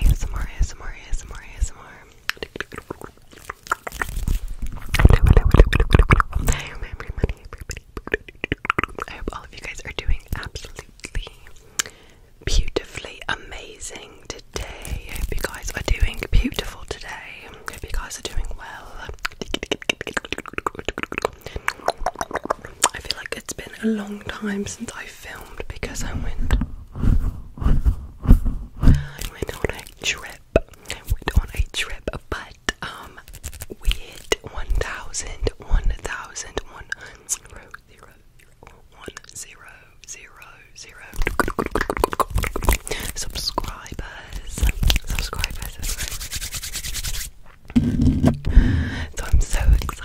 ASMR, ASMR, ASMR, ASMR. I I hope all of you guys are doing absolutely beautifully amazing today. I hope you guys are doing beautiful today. I hope you guys are doing well. I feel like it's been a long time since I've filmed because I went I went on a trip. I went on a trip, but um we hit 1,000, subscribers, subscribers. So I'm so excited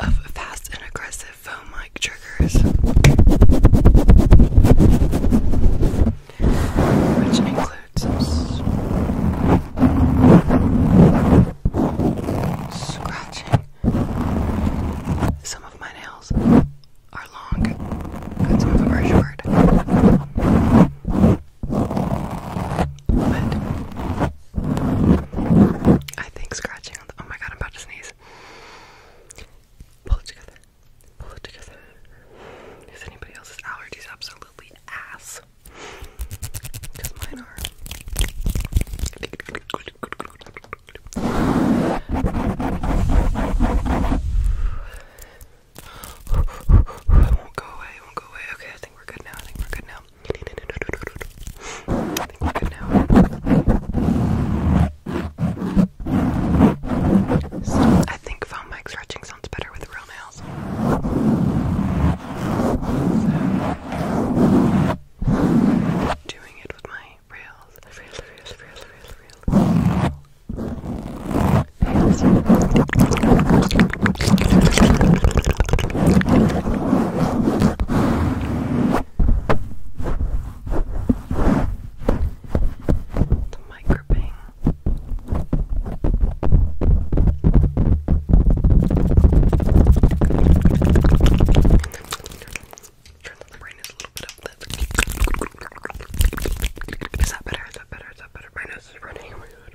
of fast and aggressive foam like triggers, which includes scratching. Some of my nails are long, and some of them are short. I think scratching oh my god, I'm about to sneeze. Pull it together. Pull it together. Is anybody else's allergies absolutely ass? Because mine are. I won't go away, I won't go away. Okay, I think we're good now. I think we're good now. I think we're good now. foam mic stretching sounds better with real nails. doing it with my reels, real, real, real, real, real. The mic gripping. Turn the brain is a little bit up. Is that better? Is that better? Is that better? My nose is running. Oh my god.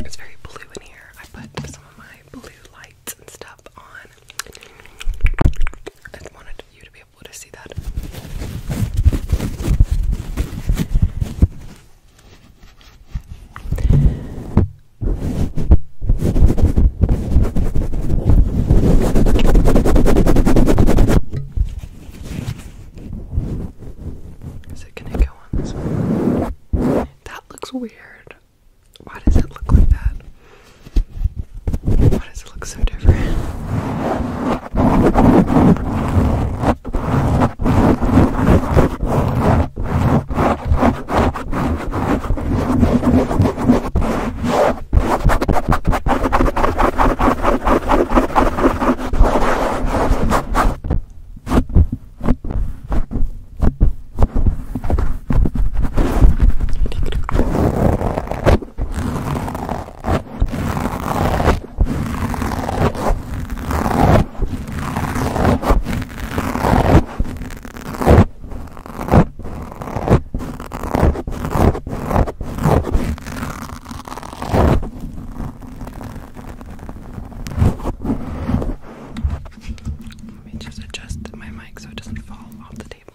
It's very blue in here. I put some of my blue lights and stuff on. I wanted you to be be able to see that. Is it gonna go on this one? That looks weird. Why does it look like that? Why does it look so different? Let me just adjust my mic so it doesn't fall off the table.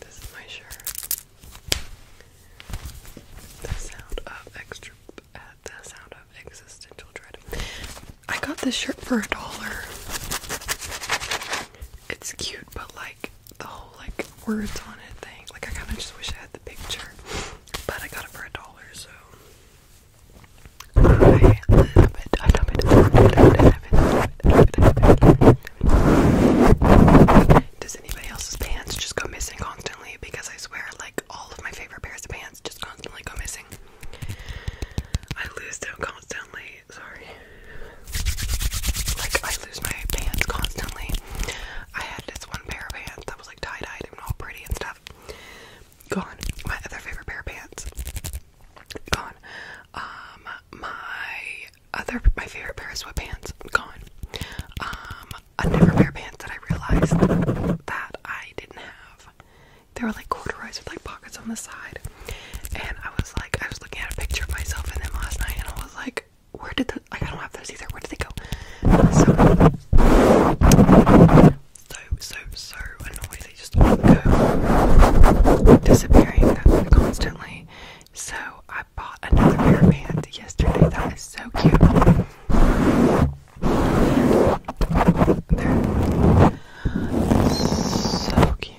This is my shirt. The sound of extra, uh, the sound of existential dread. I got this shirt for a dollar. It's cute, but like the whole like words on it thing. Like I kind of just wish I had the picture, but I got it for a dollar, so I love it. I love it. Does anybody else's pants just go missing constantly? Because I swear, like all of my favorite pairs of pants just constantly go missing. I lose them constantly sorry. Like, I lose my pants constantly. I had this one pair of pants that was like tie dyed and all pretty and stuff. Gone. My other favorite pair of pants. Gone. Um, my other, my favorite pair of sweatpants. Gone. Um, another pair of pants that I realized that I didn't have they were like corduroys with like pockets on the side. And I was like, I was looking at a picture of myself in them last night, and I was like, where did the I don't have those either? Where did they go? So so so annoying. They just go disappearing constantly. So I bought another pair of pants yesterday. That is so cute. so cute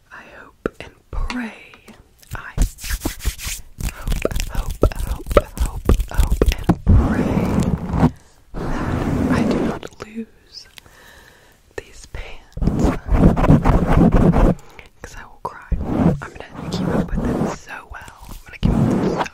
I hope and pray. I hope, hope, hope, hope, hope, and pray that I do not lose these pants. Because I will cry. I'm gonna keep up with them so well. I'm gonna keep up with them so well.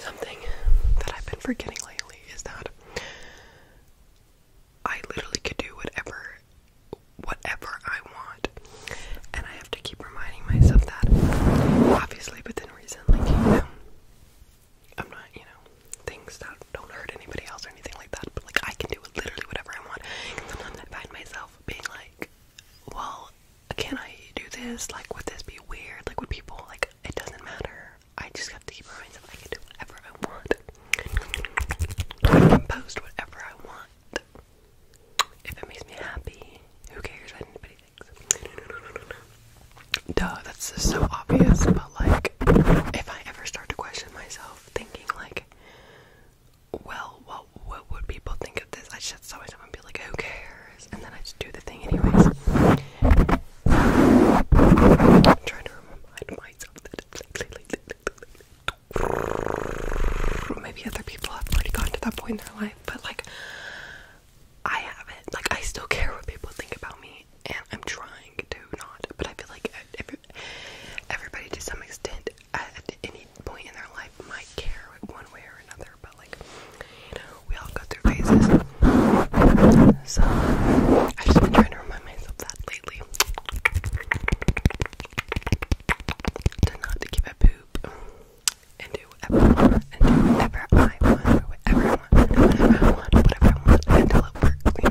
Something that I've been forgetting lately is that I literally could do whatever whatever I want. And I have to keep reminding myself that obviously within reason, like you know I'm not, you know, things that don't hurt anybody else or anything like that, but like I can do literally whatever I want. And sometimes I find myself being like, Well, can I do this? Like would this be weird? Like would people like it doesn't matter. I just have to keep reminding myself I can do whatever I want. post whatever I want. If it makes me happy, who cares what anybody thinks? Duh, that's just so obvious, but like, if I ever start to question myself, thinking like, well, what what would people think of this? I just tell myself and be like, who cares? And then I just do the thing anyways. trying to remember maybe other people have already gotten to that point in their life, but like I haven't. Like I still care what people think about me, and I'm trying to not. But I feel like everybody, to some extent, at any point in their life, might care one way or another. But like you know, we all go through phases. So, I've just been trying to remind myself that lately. To not give a poop and do whatever, I want, whatever I want, whatever I want, whatever I want, until it works, you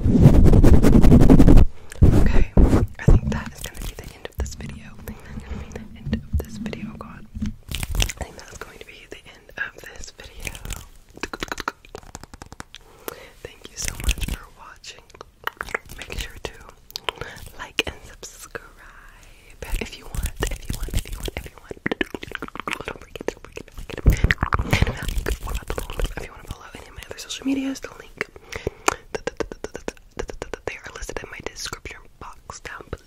Okay, I think that is going to be the end of this video. the end of this video. god. I think that's going to be the end of this video. Thank you so much for watching. Make sure to like and subscribe if you want, if you want, if you want, if you want. If you want to follow any of my other social medias, the link they are listed in my description box down below.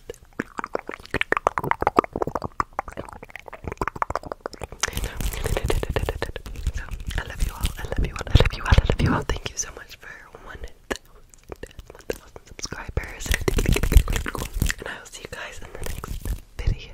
So, I love you all. I love you all. I love you all. I love you all. Thank you so much for one thousand subscribers, and I will see you guys in the next Video.